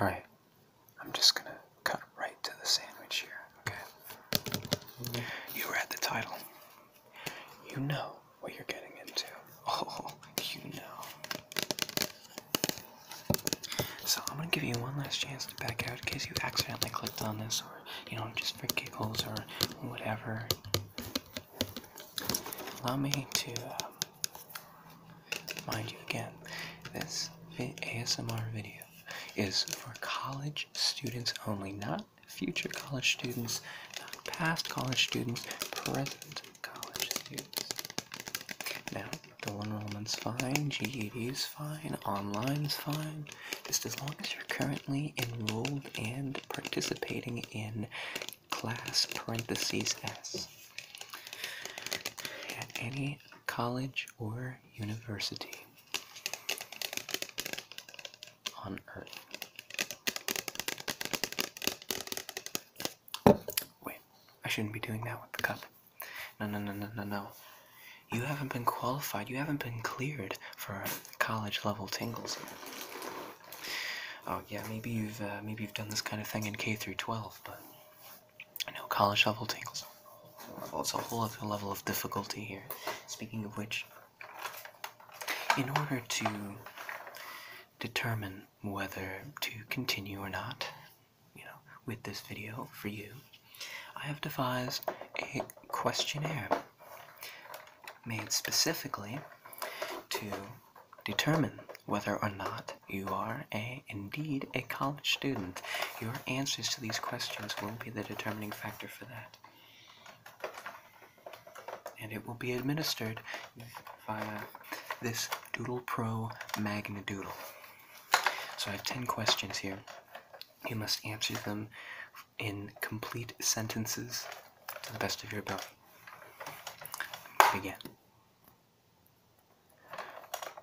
Alright, I'm just gonna cut right to the sandwich here, okay? You read the title. You know what you're getting into. Oh, you know. So I'm gonna give you one last chance to back out in case you accidentally clicked on this or, you know, just for giggles or whatever. Allow me to um, Mind you, again, this ASMR video is for college students only, not future college students, not past college students, present college students. Now, dual enrollment's fine, GED's fine, online's fine, just as long as you're currently enrolled and participating in class parentheses S at any college or university on earth. Wait, I shouldn't be doing that with the cup. No, no, no, no, no, no. You haven't been qualified, you haven't been cleared for college level tingles. Oh yeah, maybe you've uh, maybe you've done this kind of thing in K through 12, but I know college shovel tingles on level. It's a whole other level of difficulty here. Speaking of which, in order to determine whether to continue or not, you know, with this video for you, I have devised a questionnaire made specifically to determine whether or not you are a indeed a college student. Your answers to these questions will be the determining factor for that. And it will be administered via this Doodle Pro Magna Doodle. So I have 10 questions here. You must answer them in complete sentences to the best of your ability. Begin.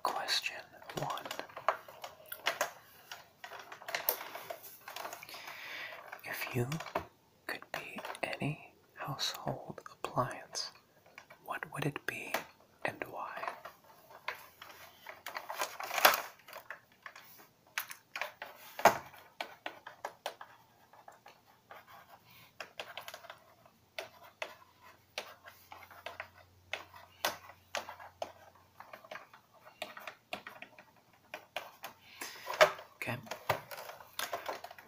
Question one. If you could be any household appliance, what would it be and why? Okay.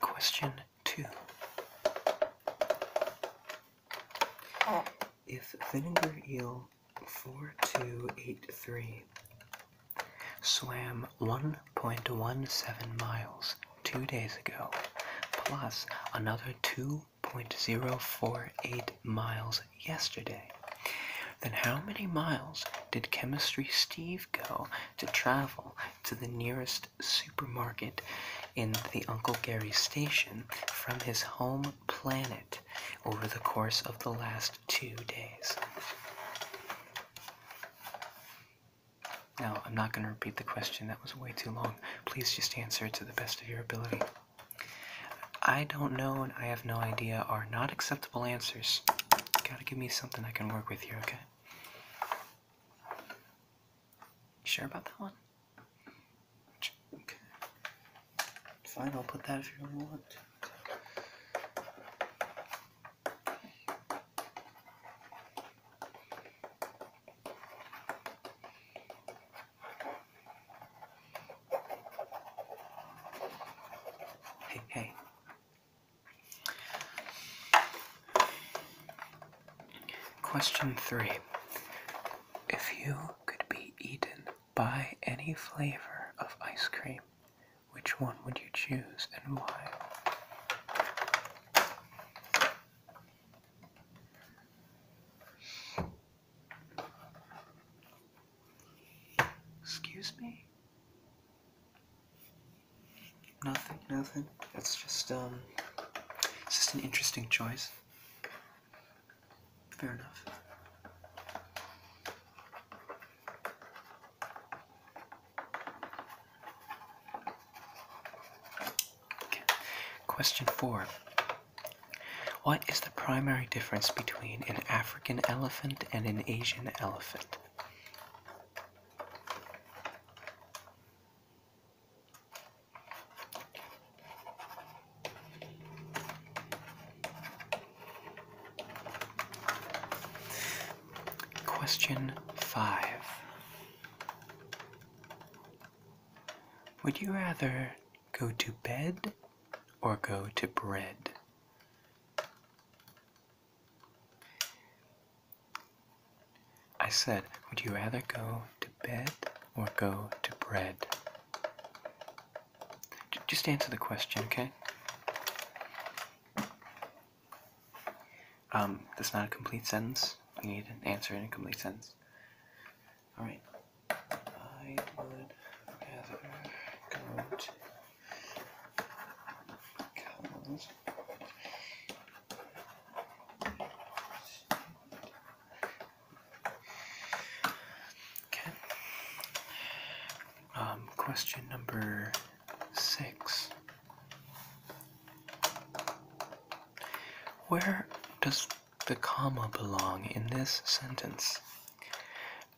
Question two. If vinegar eel 4283 swam 1.17 miles two days ago, plus another 2.048 miles yesterday. Then how many miles did Chemistry Steve go to travel to the nearest supermarket in the Uncle Gary station from his home planet over the course of the last two days? Now, I'm not going to repeat the question, that was way too long. Please just answer to the best of your ability. I don't know and I have no idea are not acceptable answers. You gotta give me something I can work with here, okay? sure about that one? Okay. Fine, I'll put that if you really want. Hey, Question three. If you could be eaten by any flavor of ice cream, which one would you choose and why? Excuse me? Nothing, nothing. That's just, um, it's just an interesting choice. Fair enough. Question four. What is the primary difference between an African elephant and an Asian elephant? Question 5. Would you rather go to bed or go to bread? I said, would you rather go to bed or go to bread? just answer the question, okay? Um, that's not a complete sentence. You need an answer in a complete sentence. Alright. I would rather go to Collins. Okay. Um, question number six. Where does the comma belong in this sentence?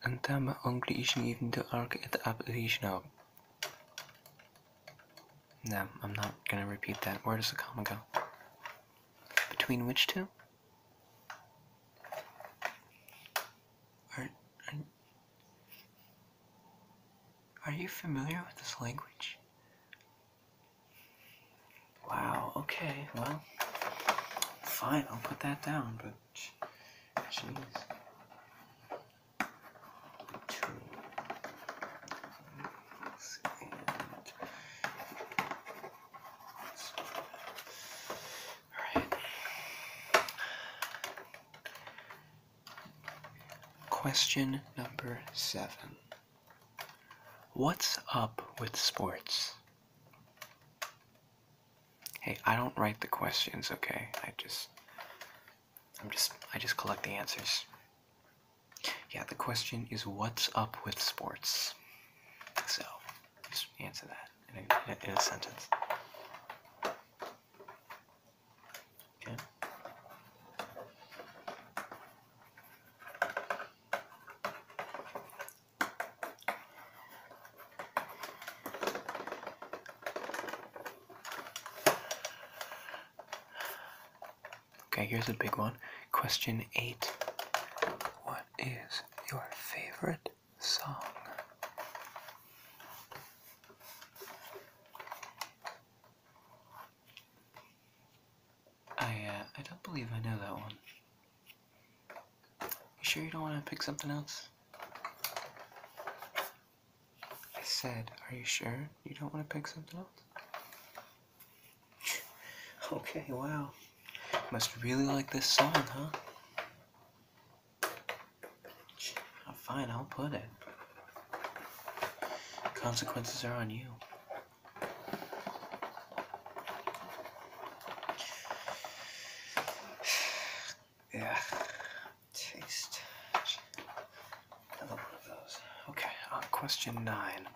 And then my أنتم at the أبليزنا. No, I'm not gonna repeat that. Where does the comma go? Between which two? are, are you familiar with this language? Wow, okay, well, fine, I'll put that down, but jeez. Two. Alright. Question number seven. What's up with sports? Hey, I don't write the questions, okay? I just I'm just I just collect the answers. Yeah, the question is what's up with sports? So, just answer that in a, in a sentence. Okay. Okay, here's a big one. Question 8. What is your favorite song? I, uh, I don't believe I know that one. You sure you don't want to pick something else? I said, are you sure you don't want to pick something else? okay, wow. Must really like this song, huh? Fine, I'll put it. Consequences are on you. yeah. Taste. Another one of those. Okay, uh, question nine.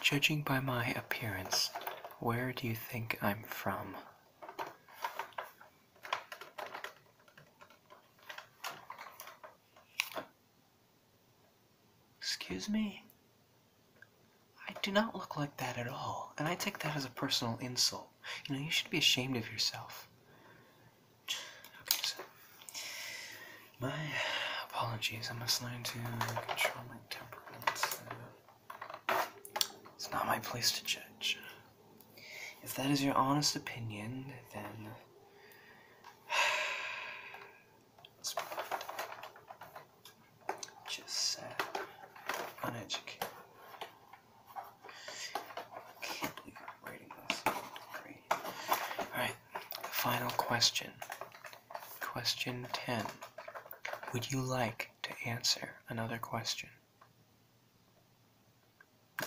Judging by my appearance, where do you think I'm from? Excuse me? I do not look like that at all, and I take that as a personal insult. You know, you should be ashamed of yourself. My apologies, I must learn to control my temperament. It's not my place to judge. If that is your honest opinion, then. Just sad. Uneducated. Can't believe I'm writing this. Alright, final question. Question 10. Would you like to answer another question?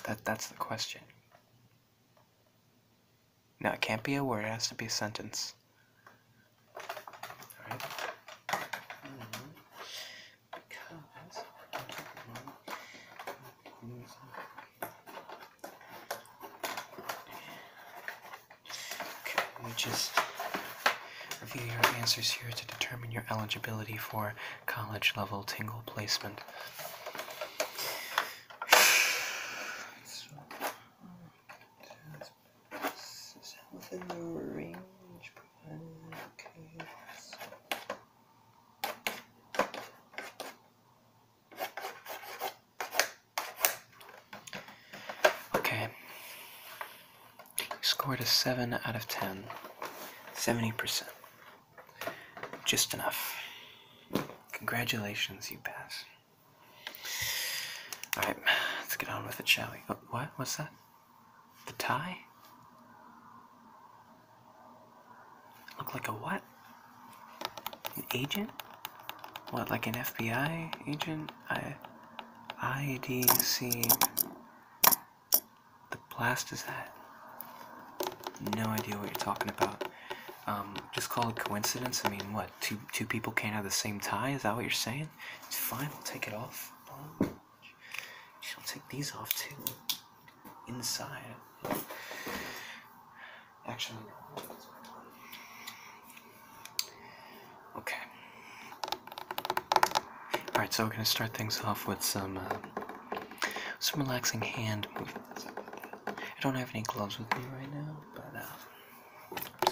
That, that's the question. Now it can't be a word. It has to be a sentence. All right. Mm-hmm. Because we just review your answers here to determine your eligibility for college level tingle placement. So, is that within the range Okay. Okay. Scored a 7 out of 10. 70%. Just enough. Congratulations, you pass. Alright, let's get on with it, shall we? Oh, what? What's that? The tie? Look like a what? An agent? What, like an FBI agent? I, IDC, the blast is that? No idea what you're talking about. Um, just call it coincidence. I mean, what? Two two people can't have the same tie? Is that what you're saying? It's fine. We'll take it off. I'll take these off too. Inside. Actually. Okay. Alright, so we're going to start things off with some, uh, some relaxing hand movements. I don't have any gloves with me right now, but uh,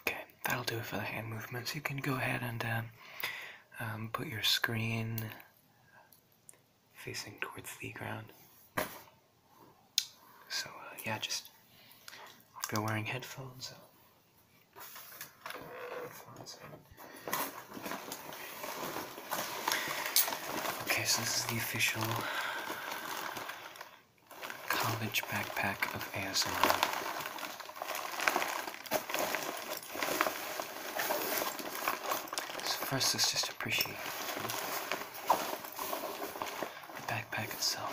Okay, that'll do it for the hand movements. You can go ahead and uh, um, put your screen facing towards the ground. So, uh, yeah, just if you're wearing headphones, uh, Okay, so this is the official college backpack of ASMR. First, let's just appreciate the backpack itself.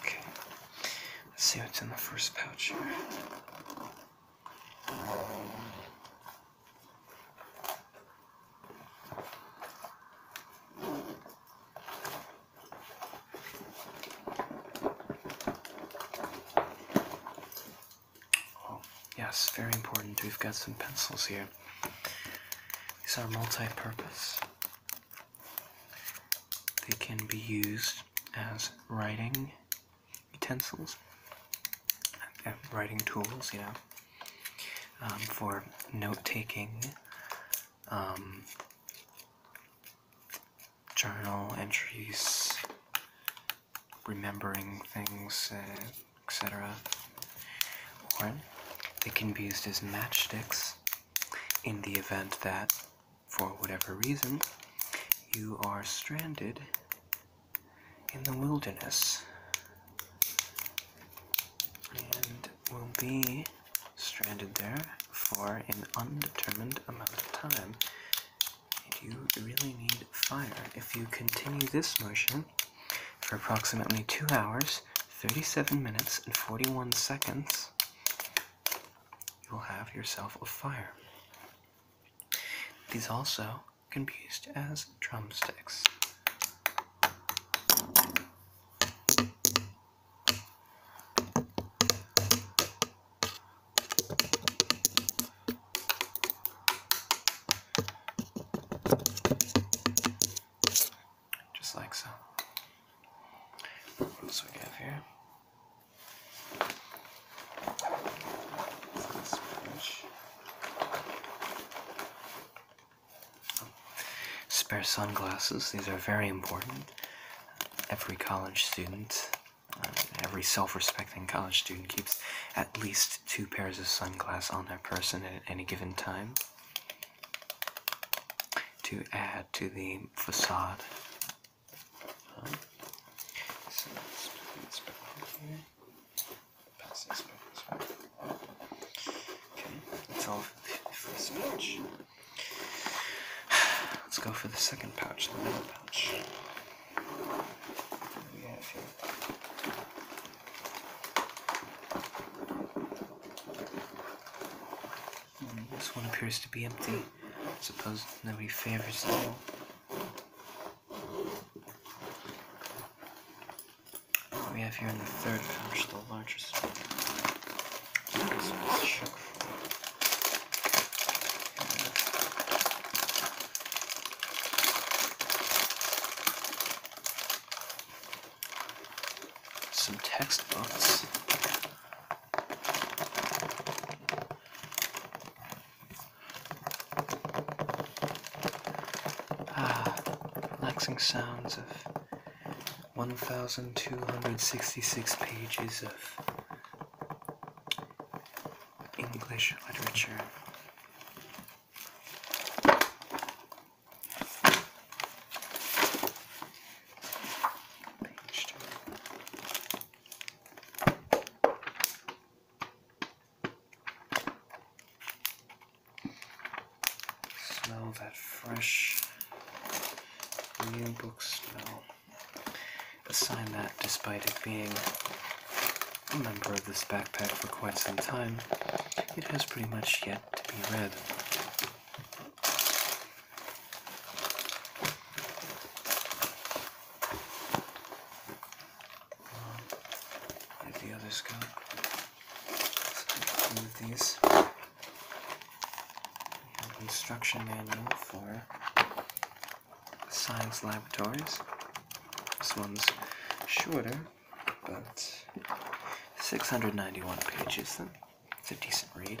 Okay, let's see what's in the first pouch here. Oh, yes, very important. We've got some pencils here. These are multi-purpose. They can be used as writing utensils writing tools, you know, um, for note taking, um, journal entries, remembering things, uh, etc. Or they can be used as matchsticks in the event that, for whatever reason, you are stranded in the wilderness and will be stranded there for an undetermined amount of time. you really need fire. If you continue this motion for approximately 2 hours, 37 minutes, and 41 seconds, you will have yourself a fire. These also can be used as drumsticks. Just like so. What else we have here? This Spare sunglasses, these are very important. Every college student, uh, every self respecting college student, keeps at least two pairs of sunglasses on their person at any given time to add to the facade. Uh, Okay, that's all for this pouch. Let's go for the second pouch, the middle pouch. this one appears to be empty. I suppose nobody favors it we have here in the third pouch, the largest one. Some textbooks. Ah, relaxing sounds of 1,266 pages of English literature. Smell that fresh new book smell. Assign that, despite it being a member of this backpack for quite some time, it has pretty much yet to be read. Where the other go? So move these. instruction manual for science laboratories. This one's shorter, but 691 pages. Then it's a decent read.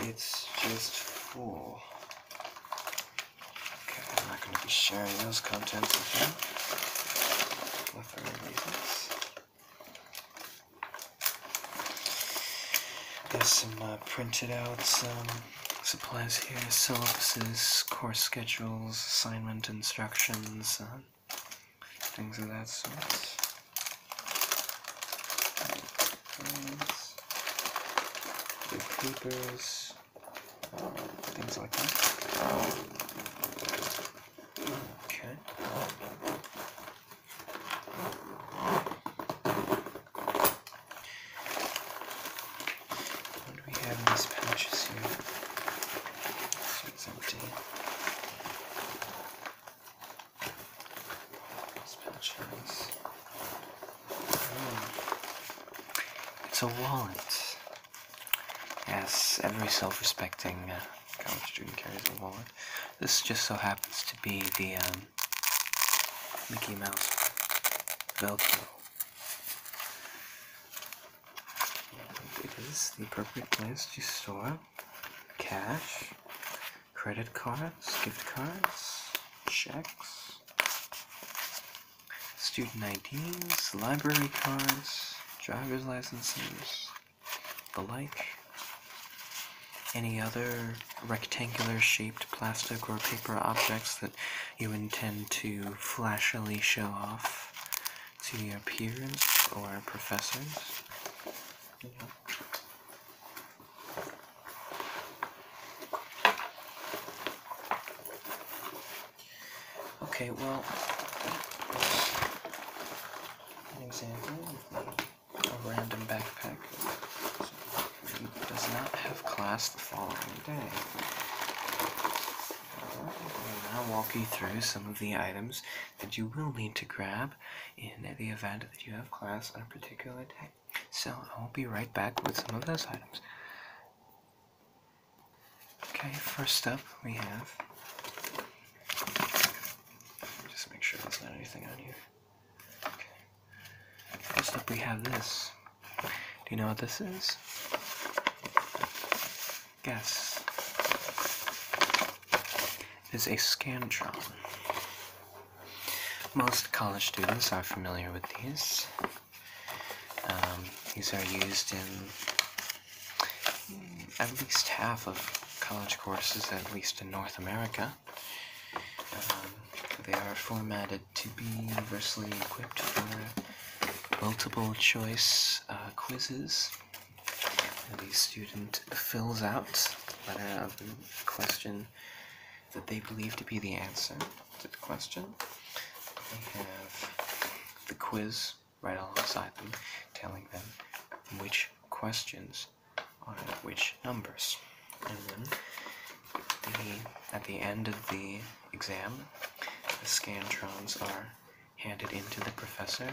It's just full. Okay, I'm not going to be sharing those contents with you. For reasons. There's some uh, printed out um, supplies here, syllabuses, course schedules, assignment instructions, uh, things of that sort the papers, things like that. Okay. What do we have in these pouches here? So it's empty. Spell chance. Hmm. It's a wallet. Yes, every self-respecting uh, college student carries a wallet. This just so happens to be the um, Mickey Mouse Velcro. it is the appropriate place to store cash credit cards, gift cards, checks, student IDs, library cards, driver's licenses, the like. Any other rectangular shaped plastic or paper objects that you intend to flashily show off to your peers or professors. Okay, well, an example a random backpack does not have class the following day. I'll walk you through some of the items that you will need to grab in the event that you have class on a particular day. So I will be right back with some of those items. Okay, first up we have. Just make sure there's not anything on here. First up we have this. Do you know what this is? Yes is a Scantron. Most college students are familiar with these. Um, these are used in at least half of college courses, at least in North America. Um, they are formatted to be universally equipped for multiple choice uh, quizzes the student fills out the question that they believe to be the answer to the question. They have the quiz right alongside them, telling them which questions are which numbers. And then the, at the end of the exam, the scantrons are handed into the professor,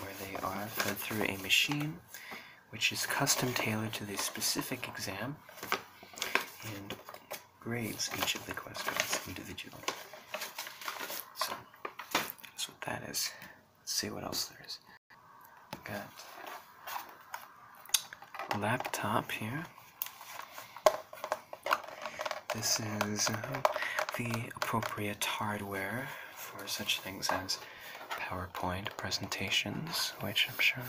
where they are fed through a machine which is custom tailored to the specific exam and grades each of the questions individually. So that's what that is. Let's see what else there is. Got laptop here. This is uh, the appropriate hardware for such things as PowerPoint presentations, which I'm sure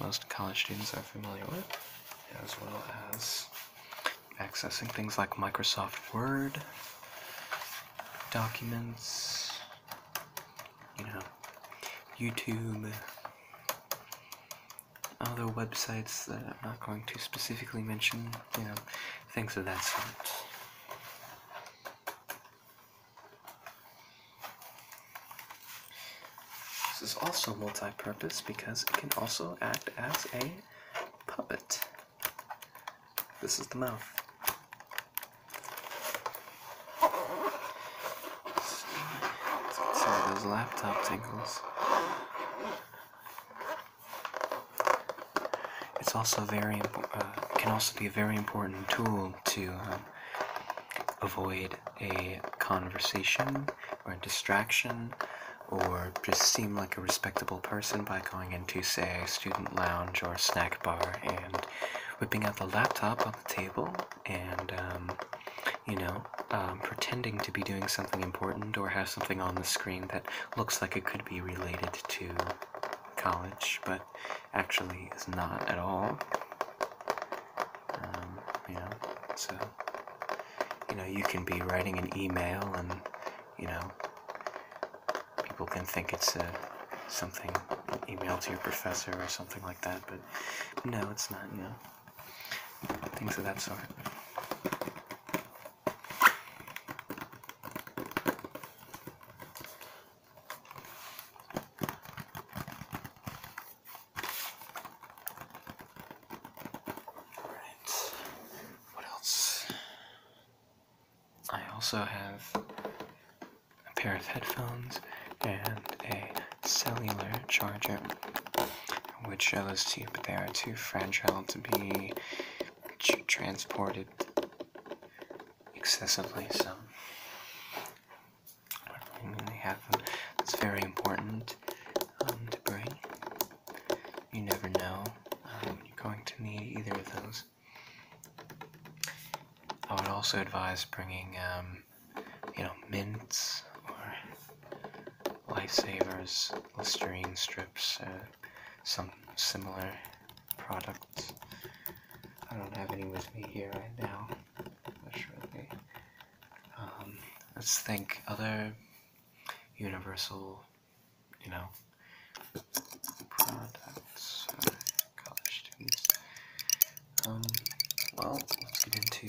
most college students are familiar with, as well as accessing things like Microsoft Word, documents, you know, YouTube, other websites that I'm not going to specifically mention, you know, things of that sort. This is also multi-purpose because it can also act as a puppet. This is the mouth. Sorry, those laptop tingles. It's also very uh, can also be a very important tool to um, avoid a conversation or distraction or just seem like a respectable person by going into, say, a student lounge or snack bar and whipping out the laptop on the table and, um, you know, um, pretending to be doing something important or have something on the screen that looks like it could be related to college, but actually is not at all. Um, you know, so you know you can be writing an email and you know people can think it's a uh, something email to your professor or something like that, but no, it's not. You know, things of that sort. Alright. What else? I also have a pair of headphones and a cellular charger. I would show those to you, but they are too fragile to be transported excessively, so when have them, it's very important um, to bring. You never know um, you're going to need either of those. I would also advise bringing, um, you know, mints or lifesavers, Listerine strips, uh, some similar products. I don't have any with me here right now, surely. Um, let's think other universal, you know, products for uh, Um, well, let's get into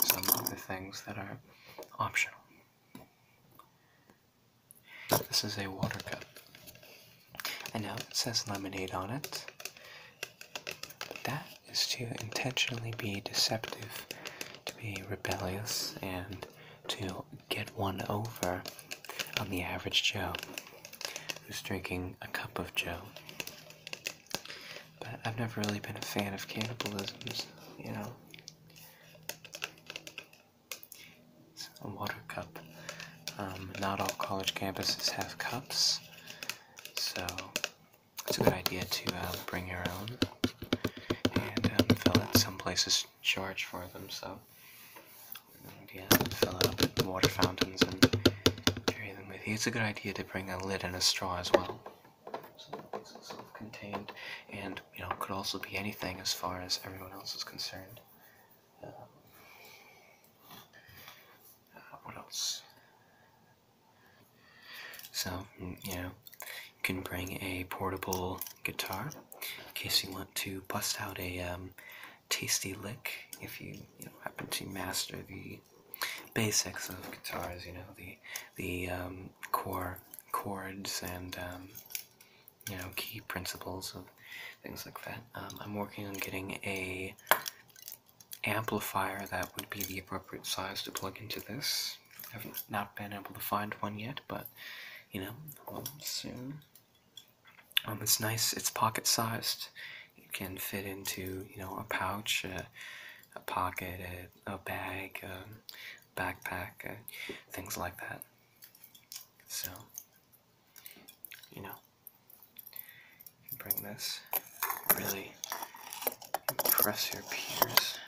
some of the things that are optional. This is a water cup. and now it says lemonade on it, but that is to intentionally be deceptive, to be rebellious, and to get one over on the average Joe who's drinking a cup of Joe. But I've never really been a fan of cannibalisms, you know a water cup. Um, not all college campuses have cups, so it's a good idea to uh, bring your own and um, fill it. Some places charge for them, so yeah, fill it up at water fountains and carry them with you. It's a good idea to bring a lid and a straw as well. So it's self-contained, and you know, could also be anything as far as everyone else is concerned. Uh, what else? So, mm, you know, you can bring a portable guitar in case you want to bust out a um, tasty lick if you, you know, happen to master the basics of guitars, you know, the, the um, core chords and um, you know, key principles of things like that. Um, I'm working on getting a amplifier that would be the appropriate size to plug into this. I have not been able to find one yet, but, you know, soon. Um, it's nice, it's pocket-sized. It can fit into, you know, a pouch, a, pocket, a, bag, a um, backpack, uh, things like that. So, you know, bring this, really impress your peers.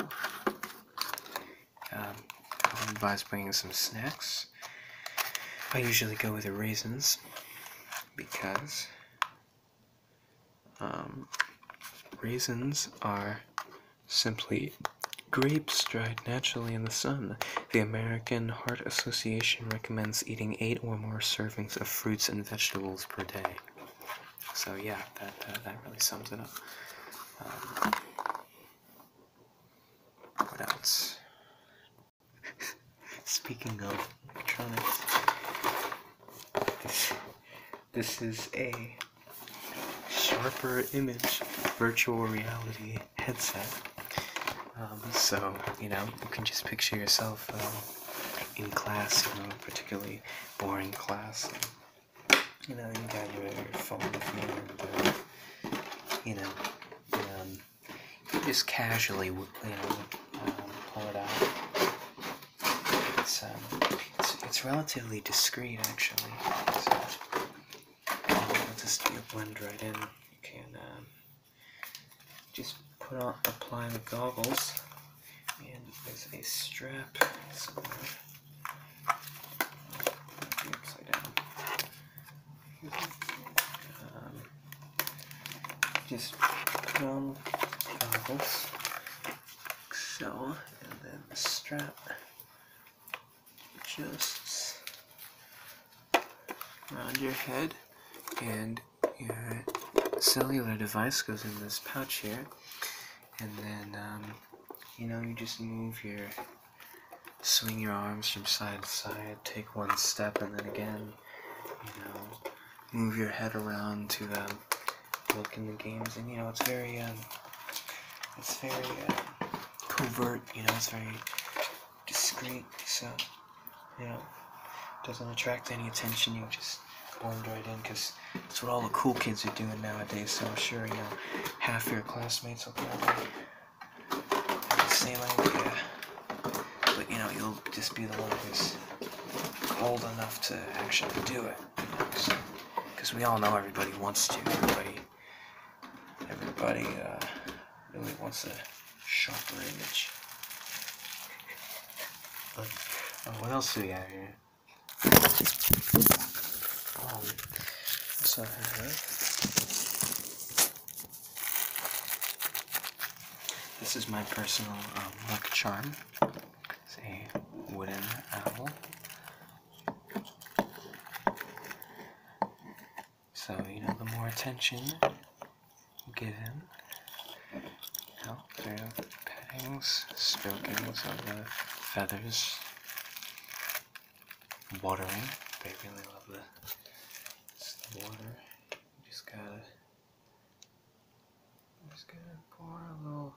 Um, I would advise bringing some snacks. I usually go with the raisins because um, raisins are simply grapes dried naturally in the sun. The American Heart Association recommends eating eight or more servings of fruits and vegetables per day. So yeah, that uh, that really sums it up. Um, what else? Speaking of electronics, this, this is a sharper image virtual reality headset. Um, so, you know, you can just picture yourself um, in class, you know, particularly boring class. you know, you got your, phone uh, you, know, um, just casually, you know, um, pull it out it's, um, it's, relatively discreet, actually. just blend right in. You can um, just put on apply the goggles, and there's a strap somewhere. Upside down. Um, just goggles so, and then the strap just around your head, and your cellular device goes in this pouch here, and then, um, you know, you just move your, swing your arms from side to side, take one step, and then again, you know, move your head around to the look in the games, and you know it's very um, it's very uh, covert. You know, it's very discreet. So you know, it doesn't attract any attention. You just blend right in because that's what all the cool kids are doing nowadays. So I'm sure you know half your classmates will probably have same idea. But you know, you'll just be the one who's old enough to actually do it. Because we all know everybody wants to. Everybody, everybody uh, really wants a sharper image. But uh, what else do we have here? I um, have? this is my personal um, uh, luck charm. It's a wooden owl. So, you know, the more attention given, give him, you know, pettings, strokings of the feathers, watering. They really love the, water. just gotta I'm just going to pour a little,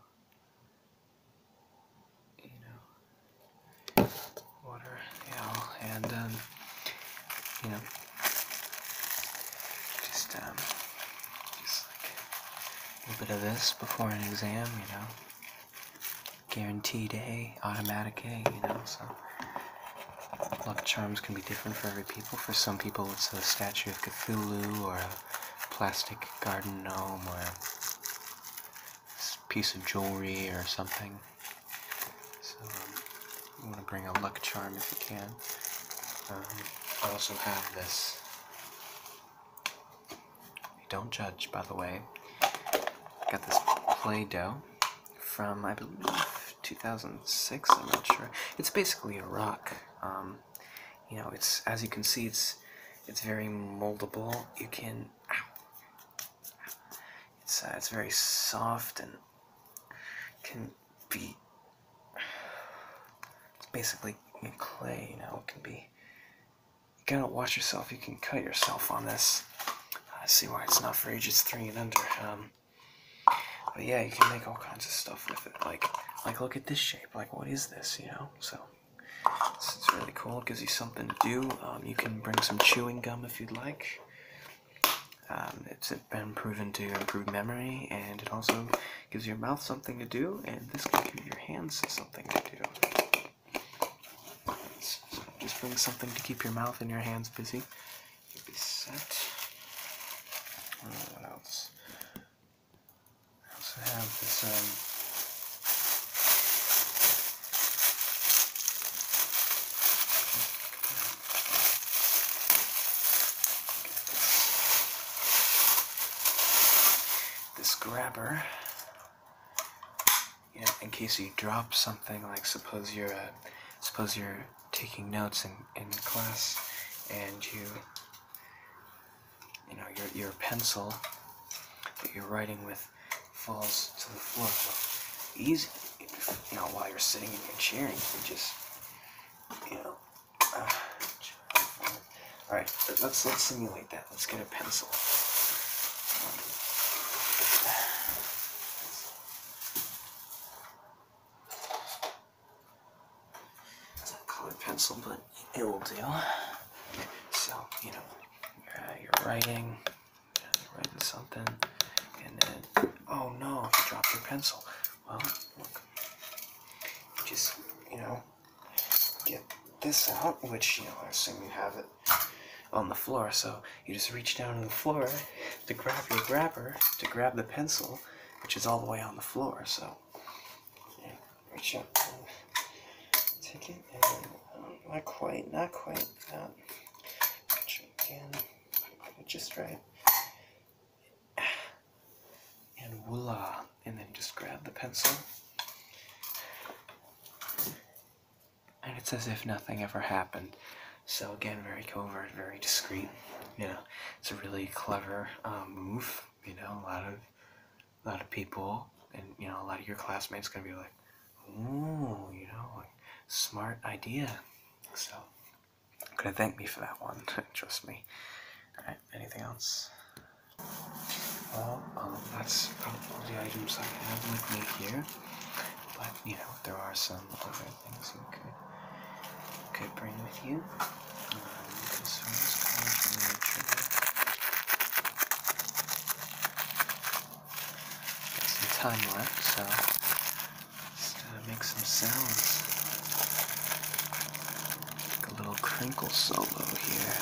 you know, water, you know, and, um, you know, just, um, just like a little bit of this before an exam, you know, guaranteed A, automatic A, you know, so luck charms can be different for every people. For some people, it's a statue of Cthulhu or a plastic garden gnome or piece of jewelry or something. So um, you want to bring a luck charm if you can. Um, I also have this. Don't judge, by the way. Got this Play-Doh from, I believe, 2006, I'm not sure. It's basically a rock. Um, you know, it's as you can see, it's it's very moldable. You can, it's uh, it's very soft and can be basically clay. You know, it can be. You gotta watch yourself. You can cut yourself on this. I see why it's not for ages three and under. Um, but yeah, you can make all kinds of stuff with it. Like, like look at this shape. Like, what is this? You know? So this is really cool. It gives you something to do. Um, you can bring some chewing gum if you'd like. Um, it's been proven to improve memory, and it also gives your mouth something to do, and this can give your hands something to do. So just bring something to keep your mouth and your hands busy. what else? I also have this um, this grabber. You in case you drop something, like suppose you're uh, suppose you're taking notes in, in class and you you know, your, your pencil that you're writing with falls to the floor. So easy, you know, while you're sitting in your chair, you just, you know. all right, let's let's simulate that. Let's get a pencil. It's a colored pencil, but it will do. So, you know, uh, you're writing, you writing something, and then, oh no, you dropped your pencil. Well, look, just, you know, get this out, which, you know, I assume you have it on the floor, so you just reach down on the floor to grab your grabber, to grab the pencil, which is all the way on the floor, so yeah, reach uh, up and take it uh, not quite, not quite that. Um, again, just right. And voila, and then just grab the pencil. And it's as if nothing ever happened. So again, very covert, very discreet. You know, it's a really clever um, move. You know, a lot of a lot of people, and you know, a lot of your classmates gonna be like, "Ooh, you know, smart idea." So, gonna thank me for that one. Trust me. All right. Anything else? Well, um, that's probably the items I have with me here. But you know, there are some other things you could could bring with you some time left, so let's make some sounds. Like a little crinkle solo here.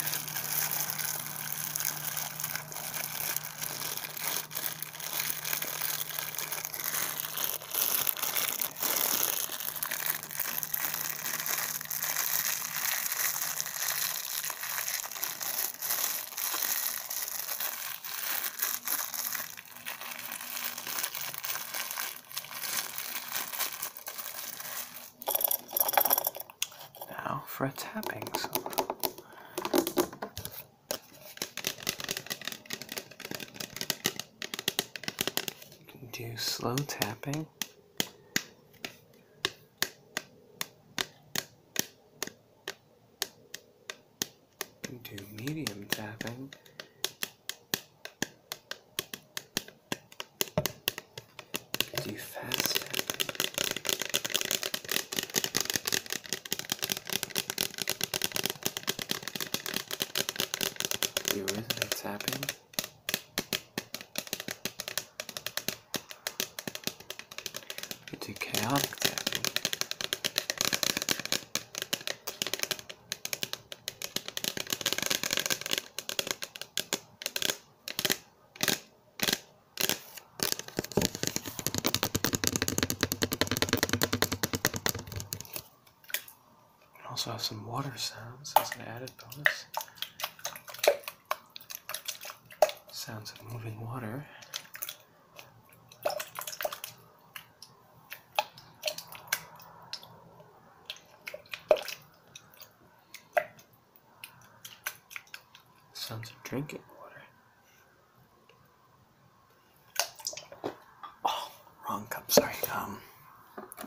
Now for a tapping song. You can do slow tapping do medium tapping. Do fast Do rhythmic tapping. You're too chaotic there. We also have some water sounds as an added bonus. Sounds of moving water. Sounds of drinking water. Oh, wrong cup, sorry. Um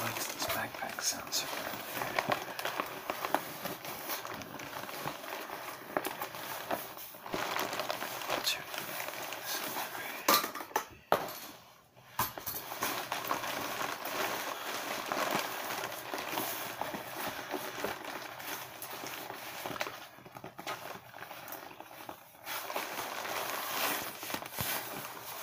Why does this backpack sound so familiar? Let's check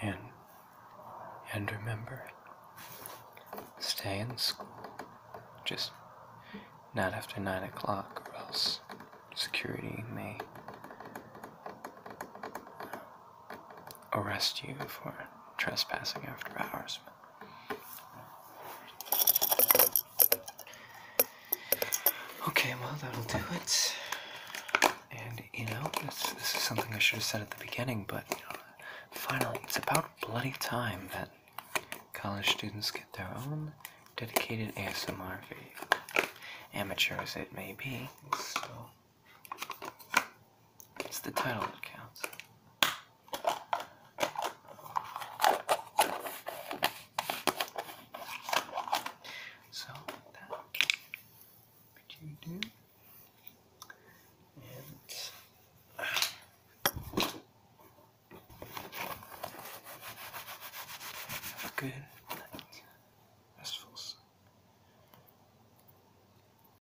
And, and remember, stay in school. Just not after 9 o'clock, or else security may arrest you for trespassing after hours. Okay, well, that'll do it. And, you know, this, is something I should have said at the beginning, but, you know, finally, it's about bloody time that college students get their own dedicated ASMR video. Amateur as it may be, it's the title that counts. So what you do, good night, restful.